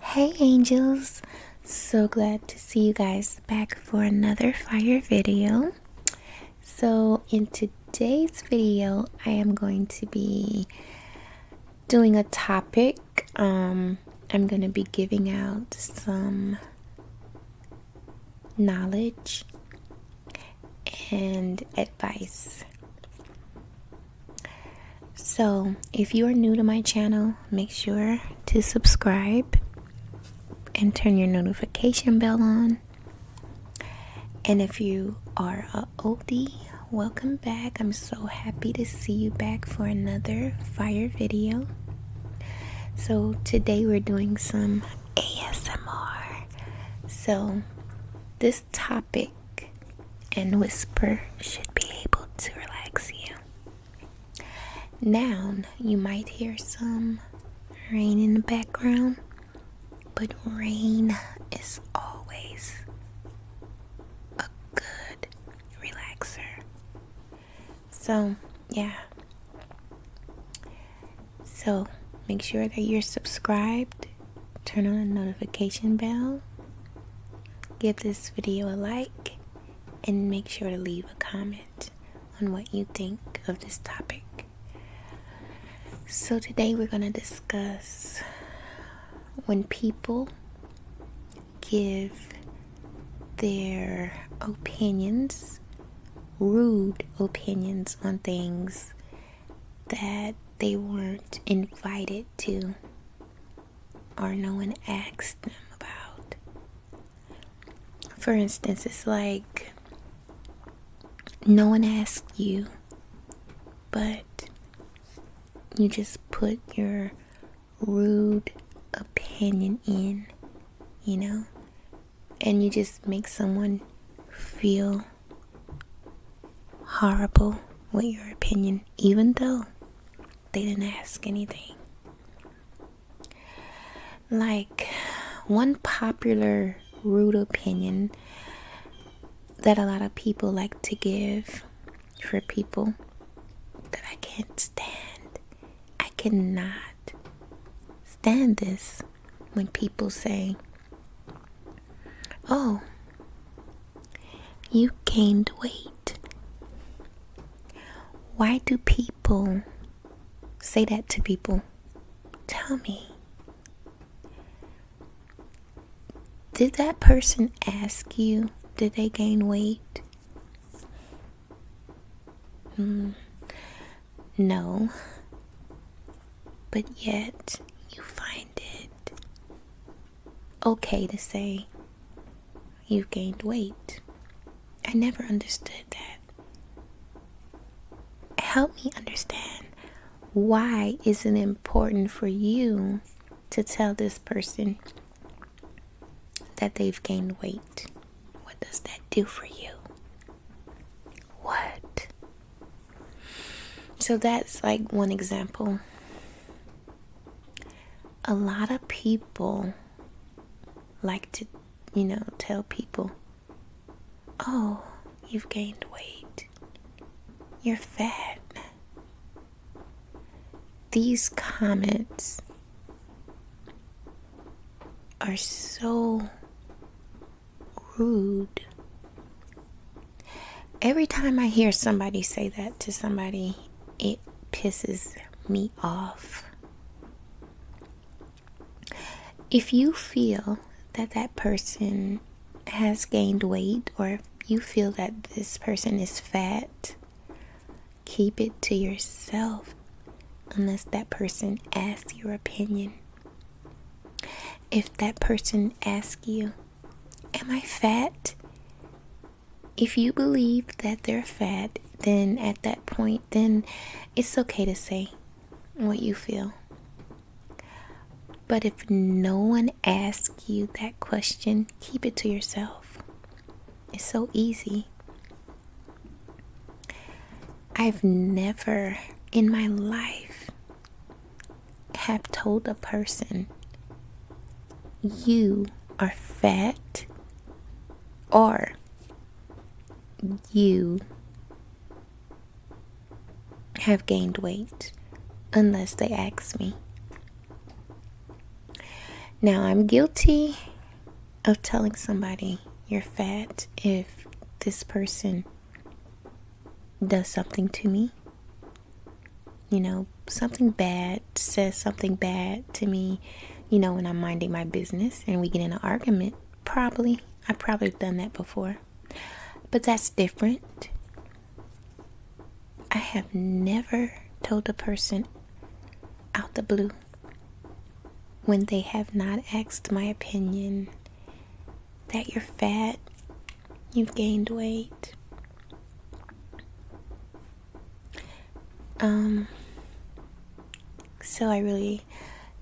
Hey angels! So glad to see you guys back for another fire video. So, in today's video, I am going to be doing a topic. Um, I'm going to be giving out some knowledge and advice. So, if you are new to my channel, make sure to subscribe and turn your notification bell on. And if you are an oldie, welcome back. I'm so happy to see you back for another fire video. So, today we're doing some ASMR. So, this topic and whisper should be able to relax you. Noun, you might hear some rain in the background, but rain is always a good relaxer. So, yeah. So, make sure that you're subscribed turn on the notification bell, give this video a like, and make sure to leave a comment on what you think of this topic. So, today we're going to discuss when people give their opinions, rude opinions on things that they weren't invited to or no one asked them about. For instance, it's like no one asked you, but you just put your rude opinion in, you know, and you just make someone feel horrible with your opinion, even though they didn't ask anything. Like, one popular rude opinion that a lot of people like to give for people that I can't stand. I cannot stand this when people say, Oh, you gained weight. Why do people say that to people? Tell me. Did that person ask you, did they gain weight? Hmm. No but yet you find it okay to say you've gained weight. I never understood that. Help me understand why is it important for you to tell this person that they've gained weight? What does that do for you? What so that's like one example. A lot of people like to, you know, tell people, oh, you've gained weight, you're fat. These comments are so rude. Every time I hear somebody say that to somebody, it pisses me off. If you feel that that person has gained weight or if you feel that this person is fat, keep it to yourself unless that person asks your opinion. If that person asks you, Am I fat? If you believe that they're fat, then at that point, then it's okay to say what you feel. But if no one asks you that question, keep it to yourself. It's so easy. I've never in my life have told a person you are fat or you have gained weight unless they ask me. Now, I'm guilty of telling somebody you're fat if this person does something to me, you know, something bad, says something bad to me, you know, when I'm minding my business and we get in an argument, probably, I have probably done that before. But that's different. I have never told a person out the blue when they have not asked my opinion that you're fat, you've gained weight. Um, so I really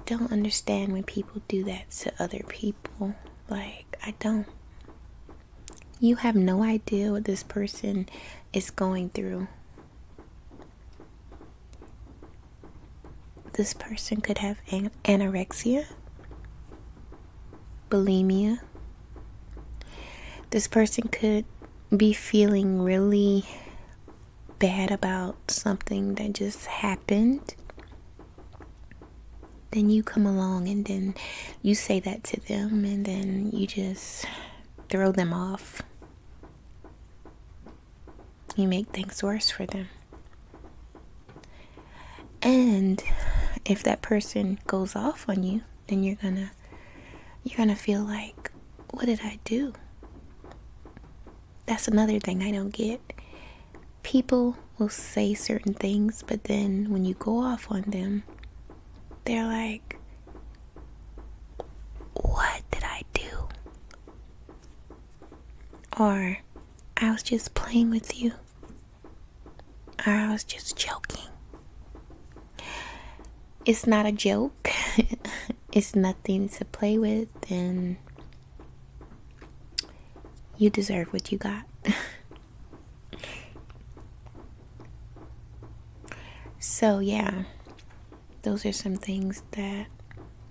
don't understand when people do that to other people. Like, I don't. You have no idea what this person is going through this person could have anorexia, bulimia. This person could be feeling really bad about something that just happened. Then you come along and then you say that to them, and then you just throw them off. You make things worse for them. And if that person goes off on you, then you're gonna you're gonna feel like, what did I do? That's another thing I don't get. People will say certain things, but then when you go off on them, they're like, what did I do? Or, I was just playing with you. Or, I was just joking. It's not a joke, it's nothing to play with, and you deserve what you got. so, yeah, those are some things that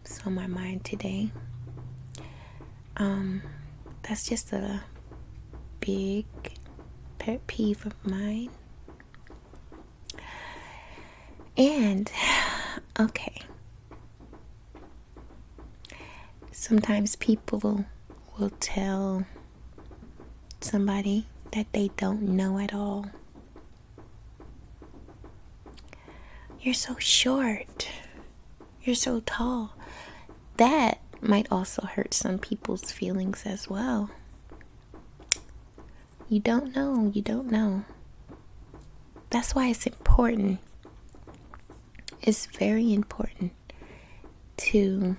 so my mind today. Um, that's just a big pet peeve of mine. And okay, sometimes people will tell somebody that they don't know at all you're so short. You're so tall. That might also hurt some people's feelings as well. You don't know. You don't know. That's why it's important. It's very important to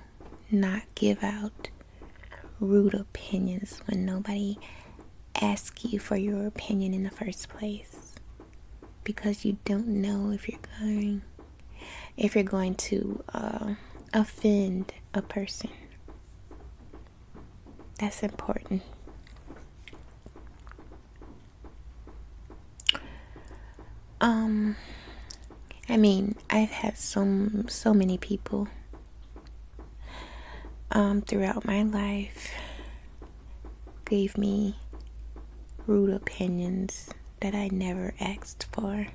not give out rude opinions when nobody ask you for your opinion in the first place because you don't know if you're going if you're going to uh, offend a person that's important um i mean i've had so so many people um, throughout my life gave me rude opinions that I never asked for.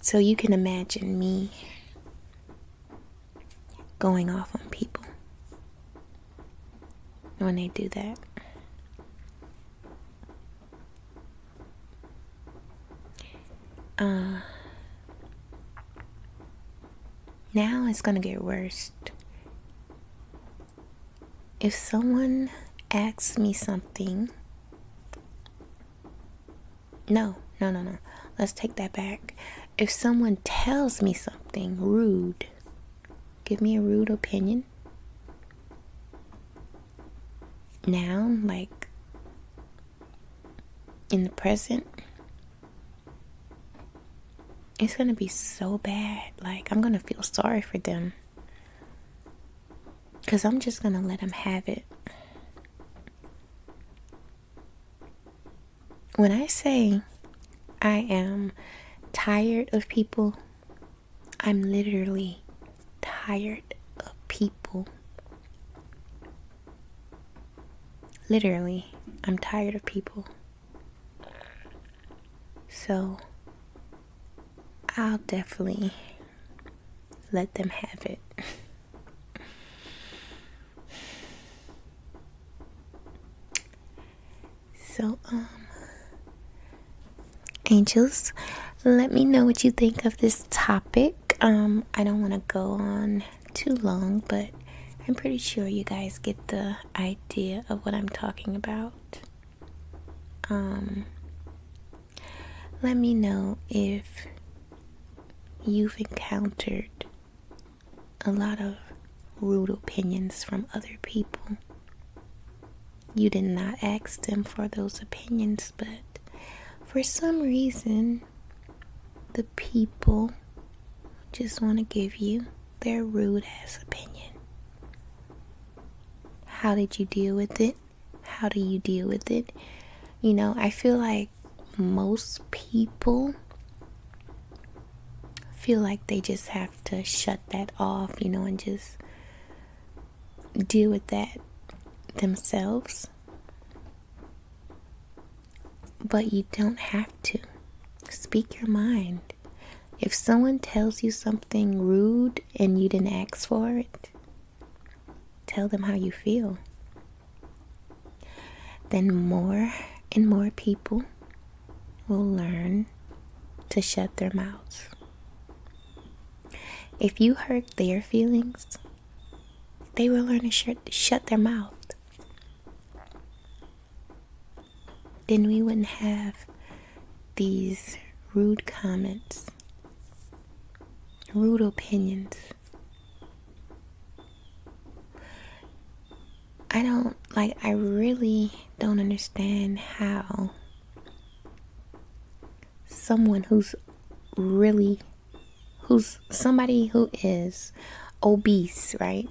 So you can imagine me going off on people when they do that. Uh, now it's gonna get worse. If someone asks me something, no, no, no, no. Let's take that back. If someone tells me something rude, give me a rude opinion. Now, like in the present, it's gonna be so bad. Like, I'm gonna feel sorry for them. Because I'm just gonna let them have it. When I say I am tired of people, I'm literally tired of people. Literally, I'm tired of people. So, I'll definitely let them have it. so, um, angels, let me know what you think of this topic um, I don't want to go on too long, but I'm pretty sure you guys get the idea of what I'm talking about. Um, let me know if you've encountered a lot of rude opinions from other people. You did not ask them for those opinions, but for some reason, the people just want to give you their rude ass opinion. How did you deal with it? How do you deal with it? You know, I feel like most people feel like they just have to shut that off, you know, and just deal with that themselves. But you don't have to. Speak your mind. If someone tells you something rude and you didn't ask for it, tell them how you feel. Then more and more people will learn to shut their mouths. If you hurt their feelings, they will learn to shut their mouth. Then we wouldn't have these rude comments, rude opinions. I don't like, I really don't understand how someone who's really who's somebody who is obese, right?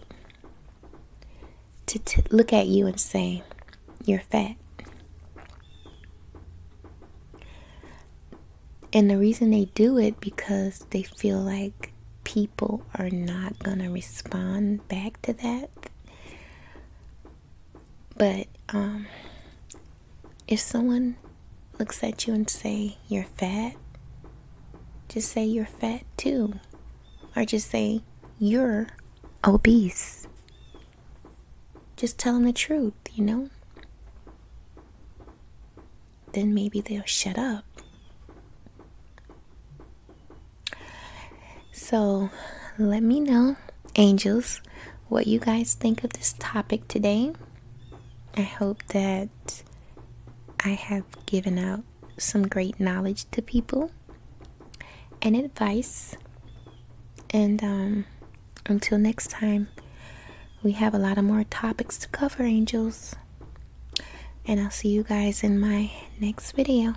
To look at you and say, you're fat. And the reason they do it because they feel like people are not going to respond back to that. But um, if someone looks at you and say you're fat, just say you're fat too. Or just say you're obese. Just tell them the truth, you know? Then maybe they'll shut up. So let me know, angels, what you guys think of this topic today. I hope that I have given out some great knowledge to people and advice. And um, until next time, we have a lot of more topics to cover, angels. And I'll see you guys in my next video.